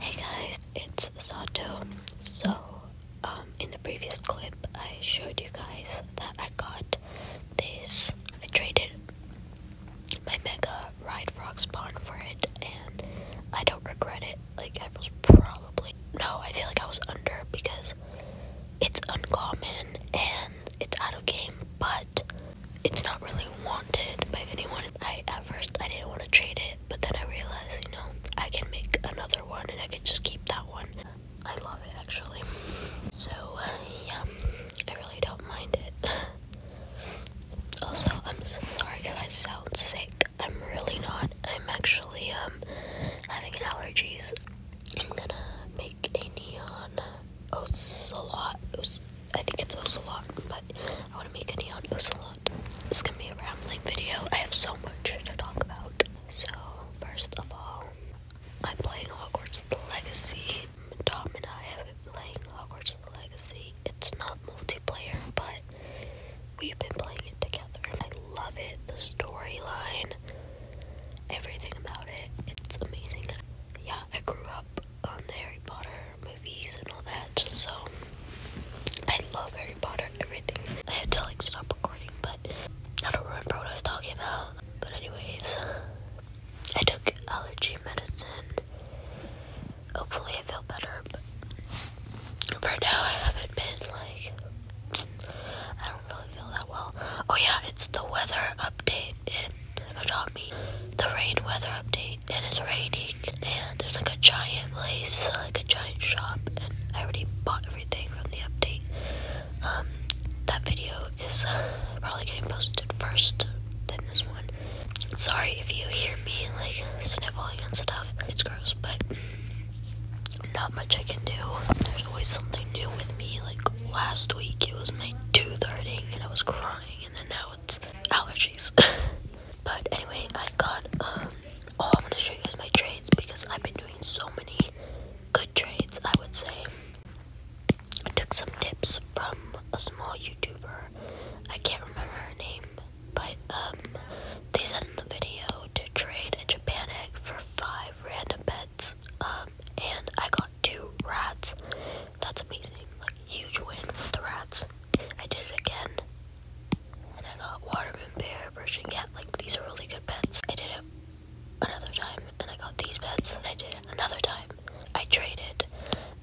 Hey guys, it's Sato. So, um, in the previous clip, I showed you guys that I got this. I traded my Mega Ride Frog spawn for it, and I don't regret it. Like, I was probably. No, I feel like I was under because it's uncommon and it's out of game, but it's not really wanted by anyone. I at first I didn't want to trade it, but then I realized, you know, I can make another one and I can just keep that one. I love it actually. So uh, yeah, I really don't mind it. also, I'm sorry if I sound sick. I'm really not. I'm actually um having allergies. I'm gonna make a neon Ocelot. Oce I think it's a lot, but I want to make a neon Ocelot. This is going to be a rambling video. I have so much to talk about. So, first of all, I'm playing Hogwarts the Legacy. Tom and I have been playing Hogwarts the Legacy. It's not multiplayer, but we've been playing it together. I love it. The storyline, everything about it, it's amazing. Yeah, I grew up on Harry Potter movies and all that. So I love Harry Potter, everything. I had to like stop recording, but I don't remember what I was talking about. But anyways, I took allergy medicine. Hopefully, I feel better. But for now, I haven't been like. I don't really feel that well. Oh yeah, it's the weather update Adopt Me, the rain weather update, and it's raining, and there's like a giant place, like a giant shop, and I already bought everything from the update. Um, that video is uh, probably getting posted first, than this one. Sorry if you hear me like sniffling and stuff, it's gross, but not much I can do. There's always something new with me, like last week it was my tooth hurting and I was crying, and then now allergies. but anyway, I got um oh I'm gonna show you guys my trades because I've been doing so many good trades I would say. I took some tips from a small YouTuber. I can't remember her name, but um they sent in the video to trade a Japan egg for five random bets. Um and I got two rats. That's amazing. Like huge win with the rats. I did it again. And I got waterman bear, brushing cat. Like these are really good pets. I did it another time and I got these pets. I did it another time. I traded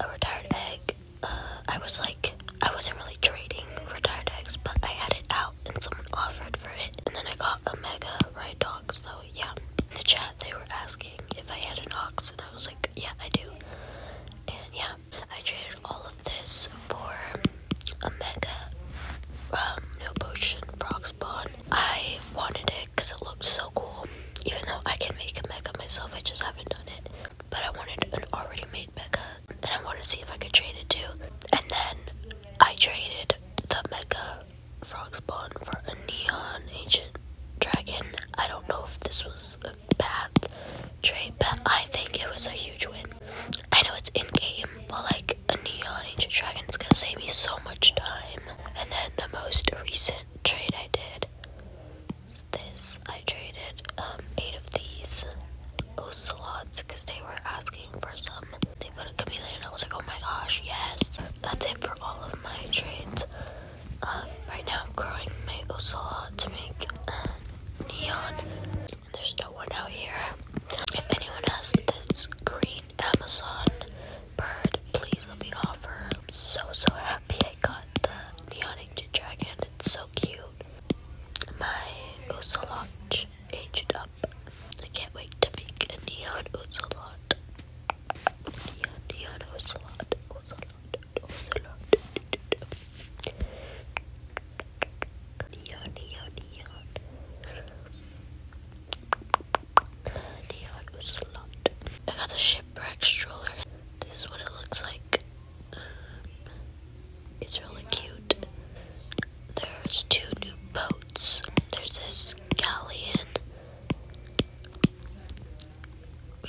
a retired egg. Uh, I was like, I wasn't really trading retired eggs, but I had it out and someone offered for it. And then I got a mega ride dog. So yeah, in the chat they were asking if I had an ox I was like, yeah, I do. And yeah, I traded all of this for a mega um, no potion frog spawn. I wanted it because it looked so cool. Even though I can make a mega myself, I just haven't done it. But I wanted an already made mega, and I wanted to see if I could trade it too. And then I traded the mega frog spawn for a neon agent. Dragon. I don't know if this was a bad trade, but I think it was a huge win. I know it's in game, but like a Neon Ancient Dragon is gonna save me so much time. And then the most recent trade I did is this. I traded um, eight of these ocelots because they were asking for some. They put a chameleon, and I was like, oh my gosh, yes. That's it for all of my trades. Um, right now I'm growing my ocelot to make uh, neon. There's no one out here. If anyone has this green Amazon bird, please let me offer. I'm so, so happy I got the neon ancient dragon. It's so cute. My ocelot aged up. I can't wait to make a neon ocelot. I got a shipwreck stroller. This is what it looks like. It's really cute. There's two new boats. There's this galleon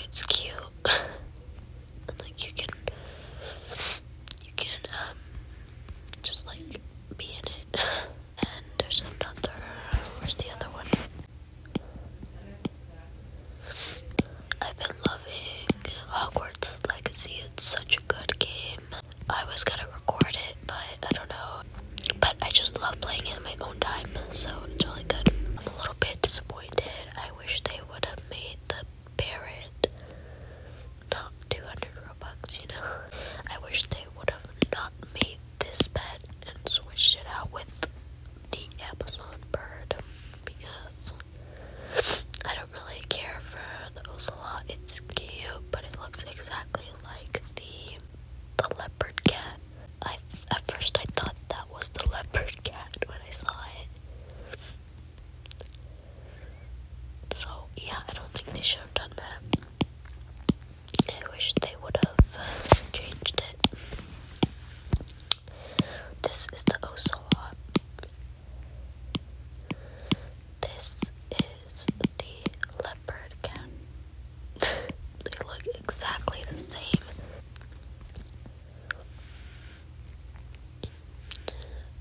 it's cute. and like you can you can um just like be in it. and there's another where's the other one? I've been loving Hogwarts Legacy. It's such a good game. I was gonna record it, but I don't know. But I just love playing it in my own time, so it's really good. I'm a little bit disappointed. I wish they would have made the parrot not 200 Robux, you know? I wish they would have not made this pet and switched it out with the Amazon bird because I don't really care for the ocelot. It's cute, but it looks exactly like the the leopard cat. I at first I thought that was the leopard cat when I saw it. So yeah, I don't think they should have done that. I wish they would have uh, changed it. This is the ocelot. This is the leopard cat they look exactly the same.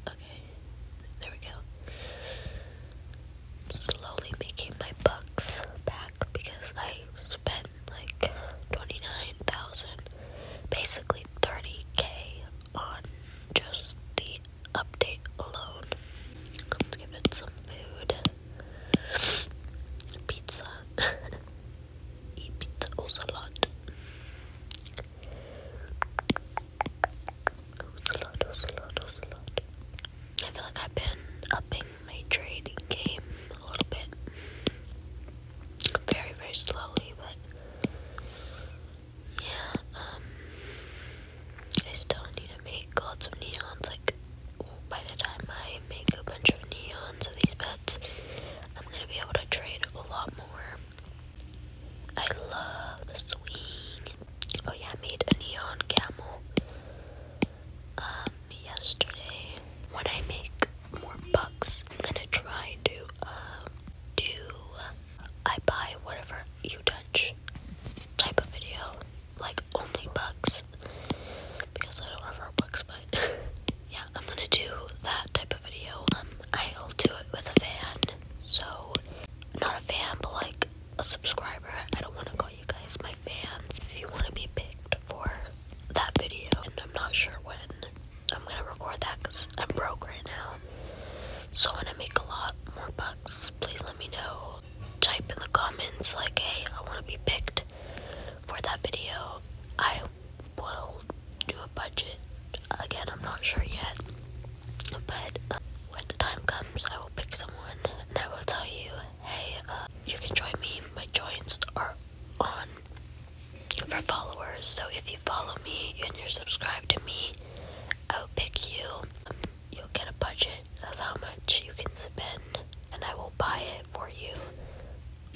Okay, there we go. slowly making my bucks back because I spent like 29,000, basically 30k on just the update alone. Let's give it some food. Pizza. Eat pizza also a lot. I feel like I've been upping my trading game a little bit. Very, very slowly, but yeah, um, I still need to make lots of neons, like by the time I make a bunch of neons of these pets, I'm gonna be able to trade a lot more. I love the swing. Oh yeah, I made a neon camel um yesterday. When I make more bucks, I'm gonna try to um do I buy whatever you touch type of video like only bucks, because I don't have our bucks. but yeah, I'm gonna do that type of video. Um, I'll do it with a fan, so not a fan, but like a subscriber. I don't want to call you guys my fans if you want to be picked for that video, and I'm not sure when I'm gonna record that because I'm broke right now. So when I make a lot more bucks, please let me know. Type in the comments like, hey, I want to be picked for that video. I will do a budget. Again, I'm not sure yet. But uh, when the time comes, I will pick someone and I will tell you, hey, uh, you can join me. My joints are on for followers. So if you follow me and you're subscribed to me, I'll pick you. you'll get a budget of how much you can and I will buy it for you.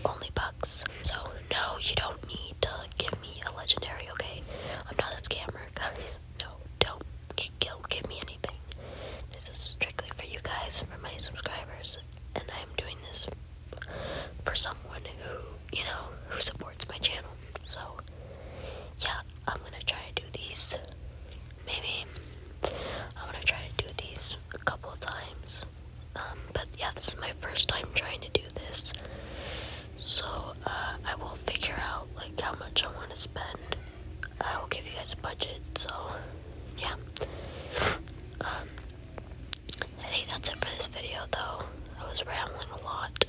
Only bucks. So, no, you don't need to give me a legendary, okay? I'm not a scammer, guys. No, don't, don't give me anything. This is strictly for you guys, for my subscribers. And I'm doing this for someone who, you know, who supports my channel. So, yeah, I'm gonna try to do these maybe I'm gonna try to do these a couple of times. Um, but yeah, this is my first time trying to do this, so uh, I will figure out like how much I want to spend. I will give you guys a budget. So yeah, um, I think that's it for this video. Though I was rambling a lot,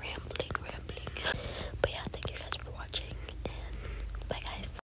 rambling, rambling. But yeah, thank you guys for watching, and bye, guys.